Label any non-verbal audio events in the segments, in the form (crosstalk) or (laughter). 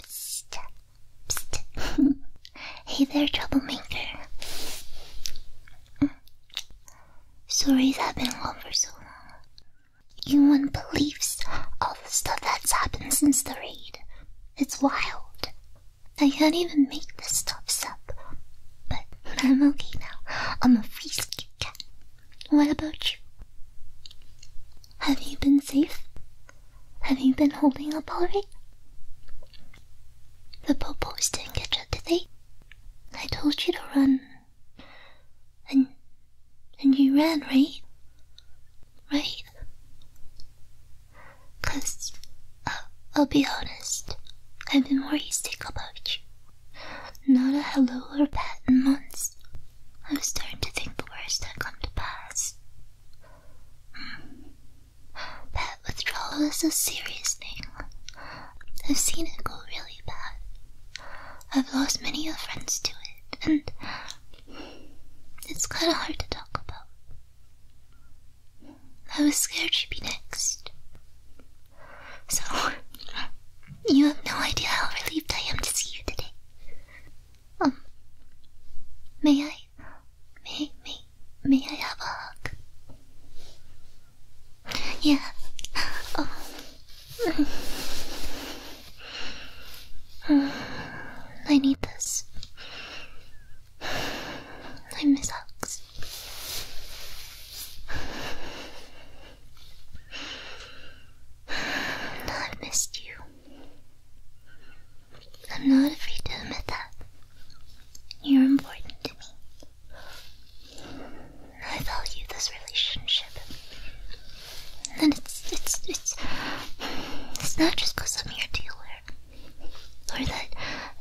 (laughs) hey there, troublemaker. Mm. Sorry I've been gone for so long. You wouldn't all the stuff that's happened since the raid. It's wild. I can't even make this stuff up. But I'm okay now. I'm a free cat. What about you? Have you been safe? Have you been holding up all right? The popos didn't get you, did they? I told you to run. And and you ran, right? Right? Cause uh, I'll be honest, I've been worried sick about you. Not a hello or pat in months. i was starting to think worst that come to pass. Hmm. That withdrawal is a serious thing. I've seen it go really bad. I've lost many of friends to it, and it's kinda hard to talk about. I was scared she'd be next. So, (laughs) you have no idea how relieved I am to see you today. Um, may I, may, may, may I have a hug? Yeah. Oh. (sighs) I need this. I miss hugs. (sighs) i missed you. I'm not afraid to admit that. You're important to me. I value this relationship. And it's it's it's it's not just because I'm your dealer. Or that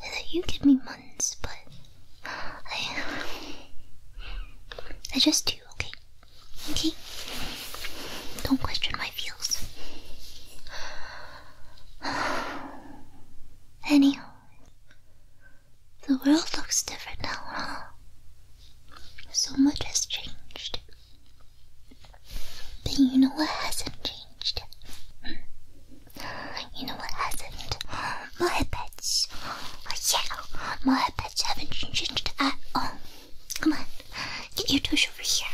that you give me months, but I I just do, okay? Okay? Don't question my feels. Anyhow, the world looks different now, huh? So much has changed. But you know what hasn't changed? You know what hasn't? My pets. Oh, yeah, my pets haven't changed at all. Come on, get your tush over here.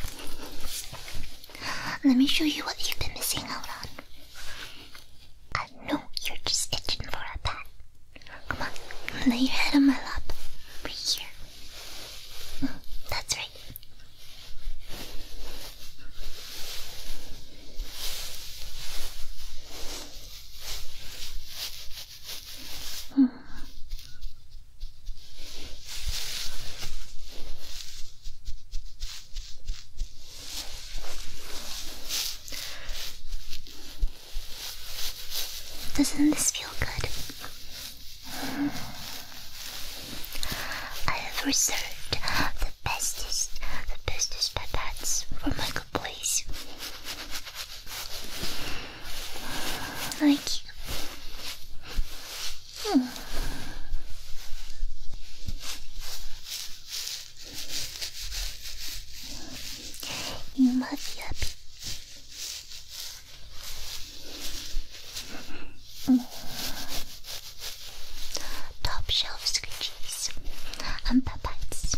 Let me show you what you've been missing out on. I know you're just itching for a pat. Come on, lay your head on my lap. Right here. Mm, that's right. Doesn't this feel good? I have reserved the bestest, the bestest pipettes for my good like hmm. You must be happy. Hmm. Top shelf scrunchies and papates.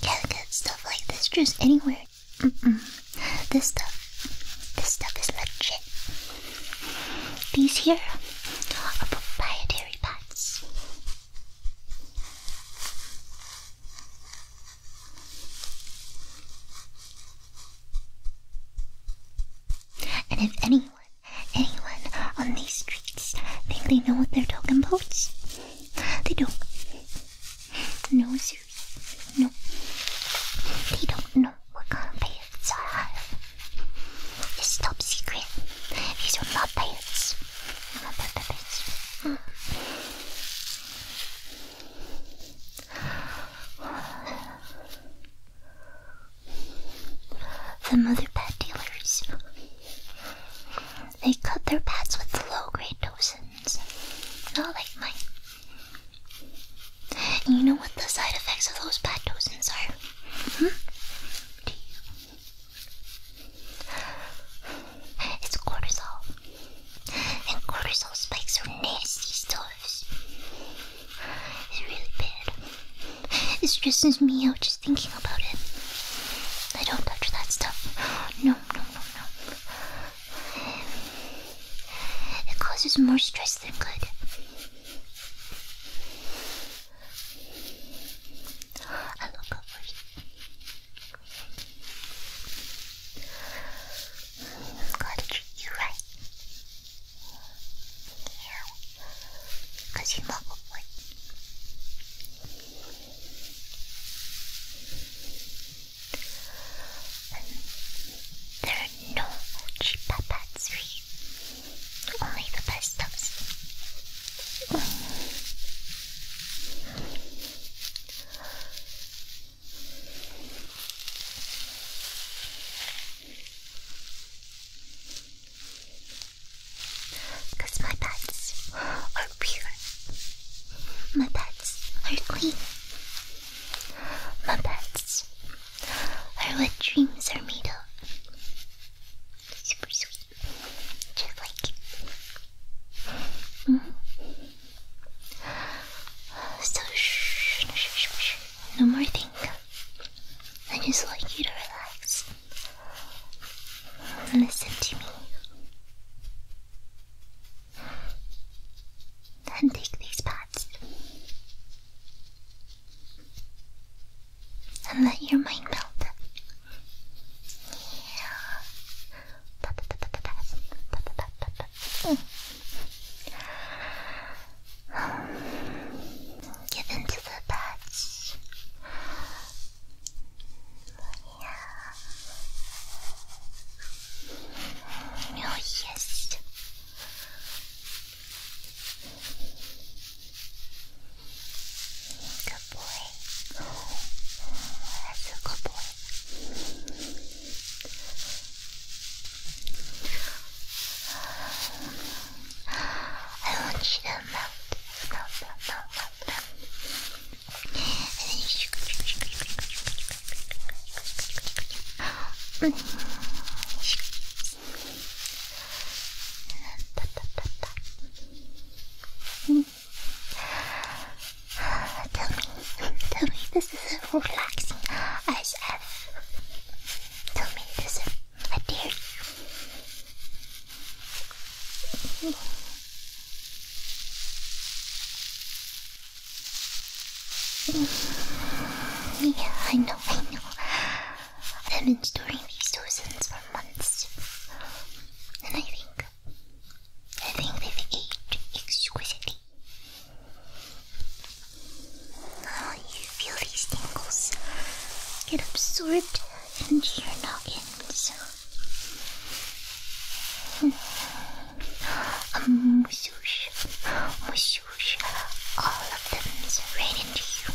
You Can't get stuff like this juice anywhere. This stuff, this stuff is legit. These here are proprietary pots. And if anyone, anyone on these streets think they know what they're talking about, they don't. No, sir. no. They don't know what kind of pants I have. It's top secret. These are my pants. The mother pet dealers. They cut their pets with low grade toxins. Not like mine. you know what the side effects of those pet toxins are? Mm -hmm. It's cortisol. And cortisol spikes are nasty stuff. It's really bad. It stresses me out just thinking about it. I don't touch that stuff. No, no, no, no. It causes more stress than good. I look over I'm God treat you right. Yeah. you love a boy. There are no cheap pads Only the best stuffs. Because my pets are pure. My pets are clean. My pets are what dreams are made of. Super sweet. Just like so no more thinking. I just want you to relax. Listen to me. And take these pads. And let your mind melt. Yeah. (sighs) Get into the patch. Yeah. Oh yes. Good boy. That's a good boy. want you to melt, melt, melt, melt, melt, melt. Mm. Tell me, tell me this is relaxing I as have, Tell me this is I dare Yeah, I know, I know. I've been storing these dozens for months. And I think I think they exquisitely. Oh, you feel these tingles get absorbed into your noggins. Mushoosh, mushoosh, all of them right into you.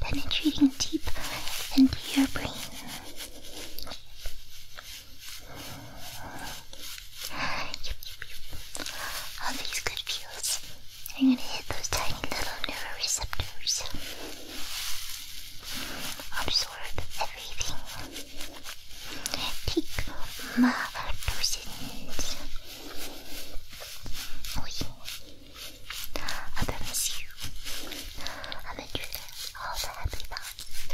penetrating deep into your brain. All these good feels are going to hit those tiny little neuroreceptors. Absorb everything. Take my dosage. Oh, I promise you, I will do all the happy thoughts,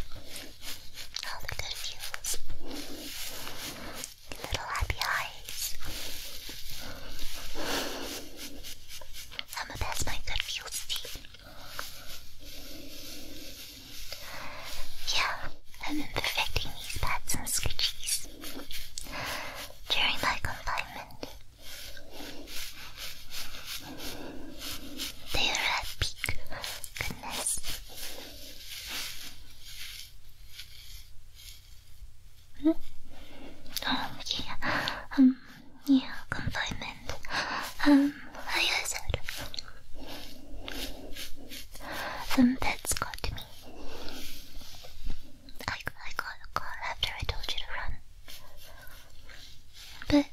all the good feels, little happy eyes. I'ma pass my good feels team. Yeah, I've perfecting these pads and scritchies during my confinement. They are at peak goodness. Oh yeah. Um yeah, confinement. Um I said some um, pets got me. I, I got a call after I told you to run. But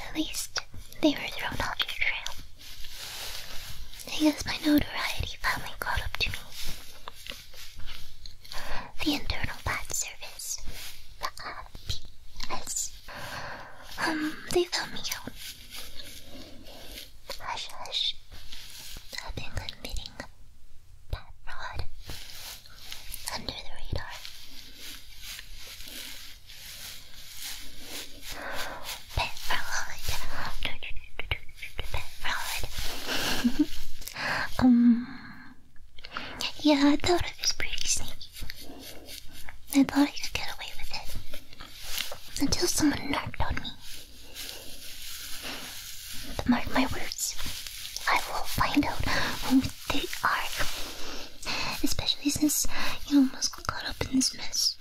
at least they were thrown off your trail. I guess my notoriety finally caught up to me. The Internal Bat Service. The RPS. Um, they found me out. Hush, hush. I've been using a under the radar. Pet rod. Pet rod. (laughs) um. Yeah, I thought it was pretty sneaky. I thought I could get away with it until someone knocked on me. Mark my words, I will find out who they are. Especially since you almost got caught up in this mess.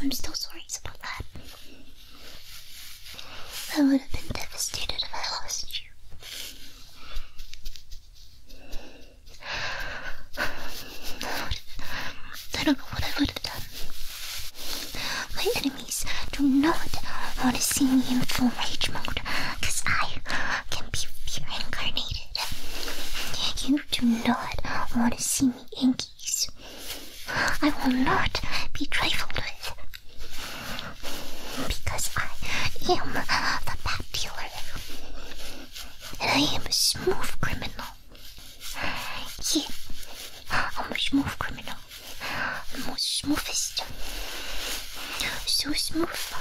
I'm still sorry about that. I would have been devastated if I lost you. I don't know what I would have done. My enemies do not want to see me in full rage mode, because I can be reincarnated. You do not want to see me inkies. I will not be trifled with. Because I am the bat dealer. And I am a smooth criminal. Yeah, I'm a smooth criminal. I'm the smoothest. So smooth.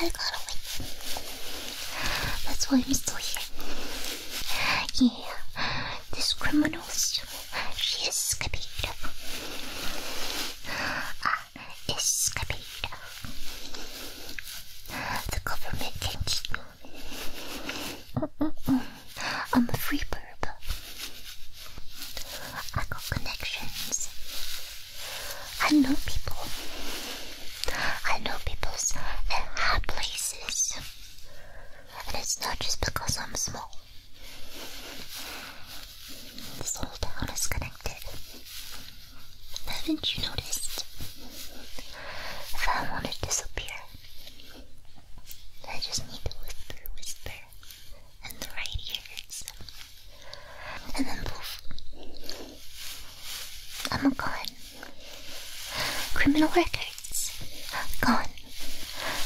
I got away. That's why I'm still here. Yeah, this criminal's. She escaped. Ah, escaped. Ah, the government can't keep me. Mm, mm, mm. I'm a free bird. but I got connections. I know people. I know people's uh, and high places. And it's not just because I'm small. This whole town is connected. Haven't you noticed? If I want to disappear, I just need to whisper, whisper, and the right ear hurts And then poof. I'm gone. Criminal records. Gone.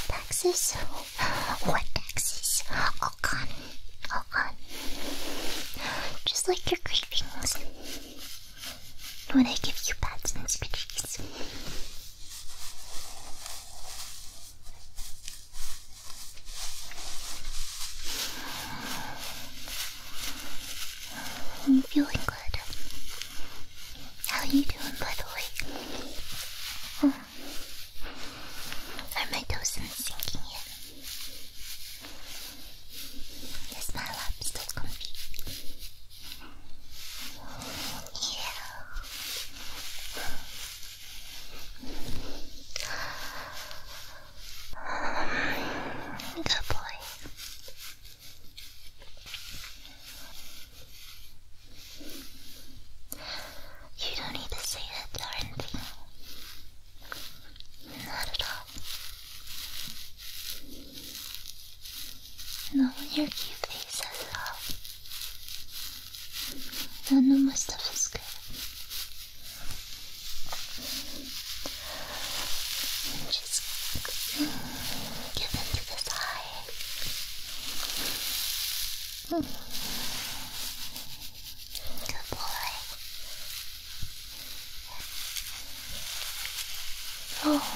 Taxes? What taxes? All gone. All gone. Just like your cravings. Would I give you pats and scratches? I'm feeling good. How are you doing, by the way? Oh. Are my toes not sinking in? Is my lap still comfy? you. Good boy. You don't need to say that darn thing. Not at all and all your cute face as well. No, no, my stuff is good. Just give into this eye. Good boy. Oh,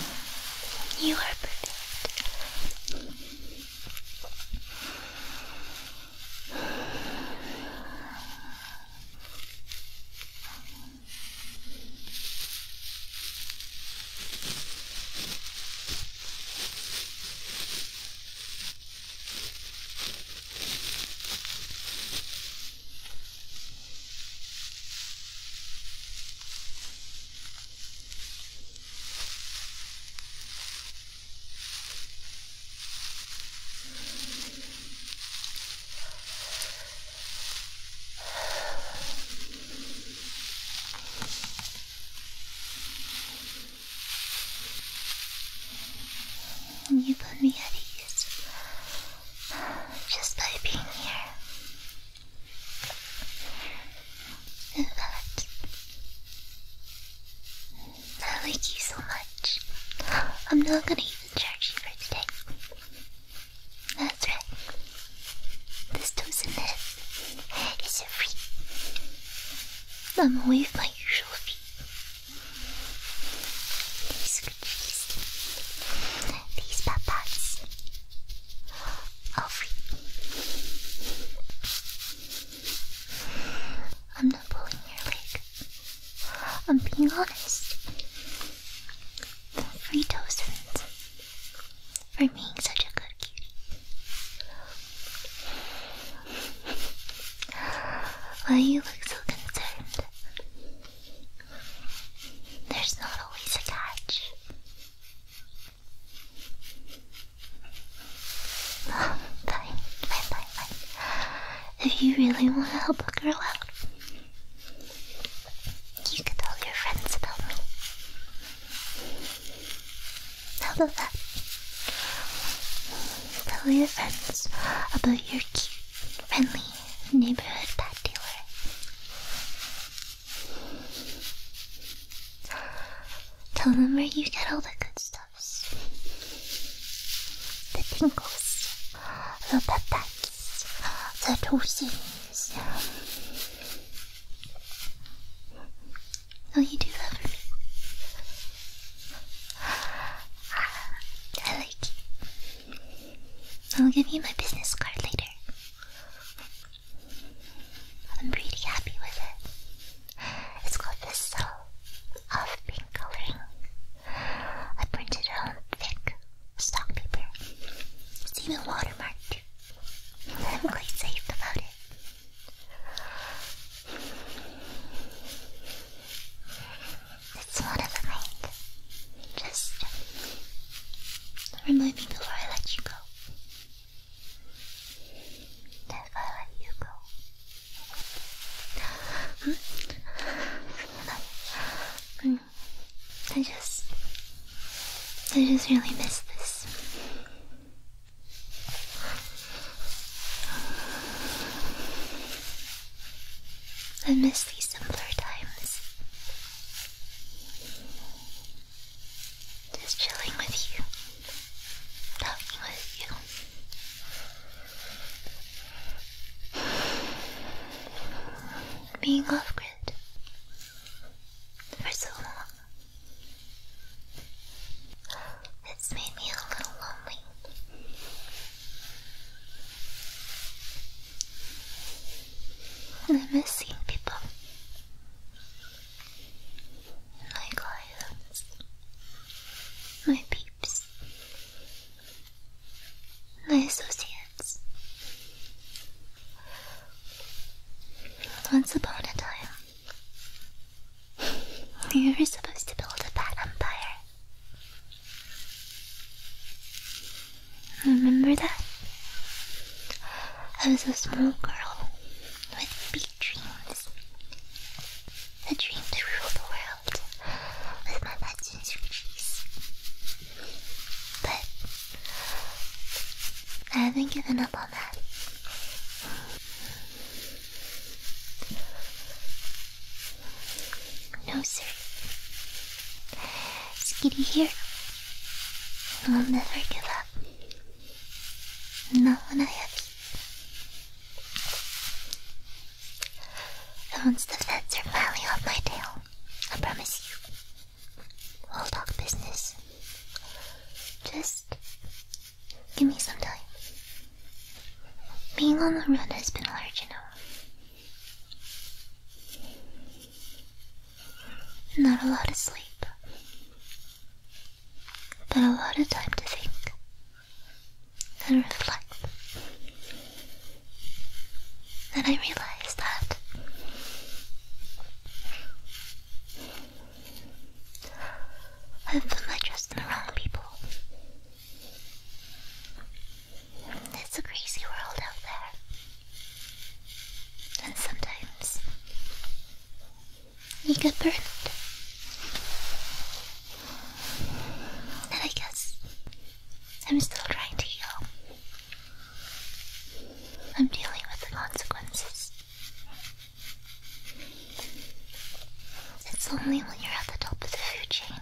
you are perfect. You put me at ease just by being here. And I like you so much. I'm not gonna even charge you for today. That's right. This doesn't have is a free. I'm away from my usual fee. These cookies. These papas. Alfie. I'm not pulling your leg. I'm being honest. The for being such a good cutie. Why you look so concerned? There's not always a catch. fine, fine, fine, fine. If you really want to help a girl out, you could tell your friends about me. How about that? Tell your friends about your cute, friendly neighborhood pet dealer. Tell them where you get all the good stuffs. The tingles, the pipettes, the toasties. Oh, you do that for me. I like you. I'll give you my business card later. I'm pretty happy with it. It's got this cell of pink coloring. I printed it on thick stock paper. It's even watermarked. I'm quite safe about it. It's sort of like just remind me before I let you go. If I let you go. Hmm? I just I just really miss this. I miss these simpler times. Just chilling with you, talking with you. Being off grid for so long. It's made me a little lonely. I'm missing people. My clients. My peeps. My associates. Once upon a time, we were supposed to build a bad empire. Remember that? I was a small girl with big dreams. A dream to rule the world with my legends riches. But I haven't given up on that. No, sir. Skitty here. I'll never give up. Not when I have you. Once the feds are finally off my tail, I promise you. We'll talk business. Just give me some time. Being on the run has been hard, enough. Not a lot of sleep, but a lot of time to think and reflect. Then I realized that I've put my trust in the wrong people. It's a crazy world out there. And sometimes you get burned. And I guess I'm still trying to heal. I'm dealing with the consequences. It's only when you're at the top of the food chain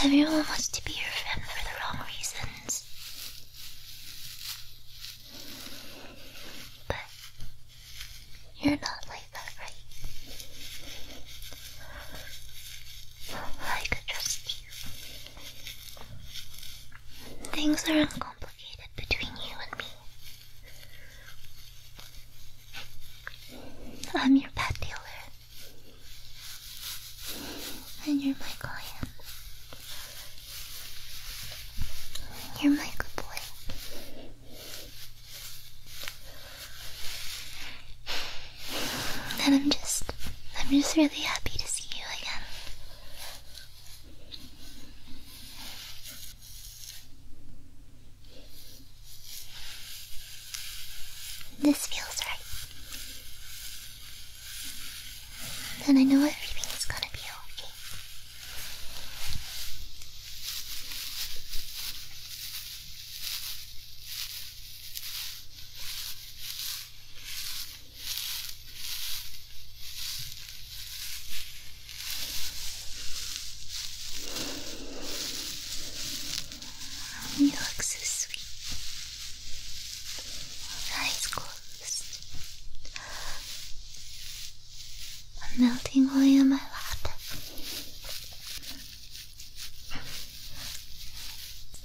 Everyone wants to be your friend for the wrong reasons. But you're not like that, right? I could trust you. Things are uncomplicated between you and me. I'm your pet dealer. And you're my client. You're my good boy. And I'm just, I'm just really happy to see you again. This feels right. and I know everything is gonna be okay. You look so sweet. Eyes closed. I'm melting away on my lap.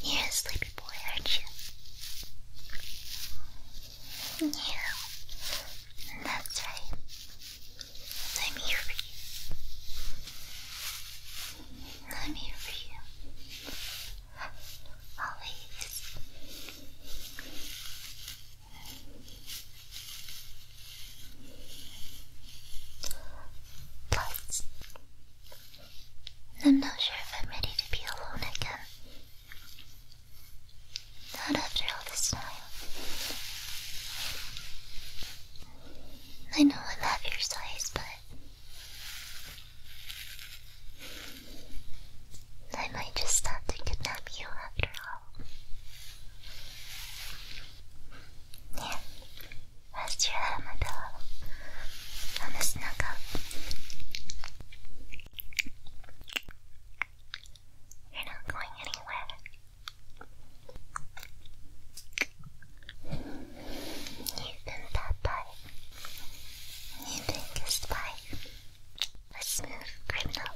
You're a sleepy boy, aren't you? Yeah. That's right. I'm here for you. I'm here for you. Always. Oh, Plus, I'm not sure if I'm ready to be alone again. Not after all this time. I know I'm half your size, but I might just stop to kidnap you after all. Yeah, rest your head my pillow. I'm gonna snug You're not going anywhere. You Even Popeye, even a spy, a smooth criminal.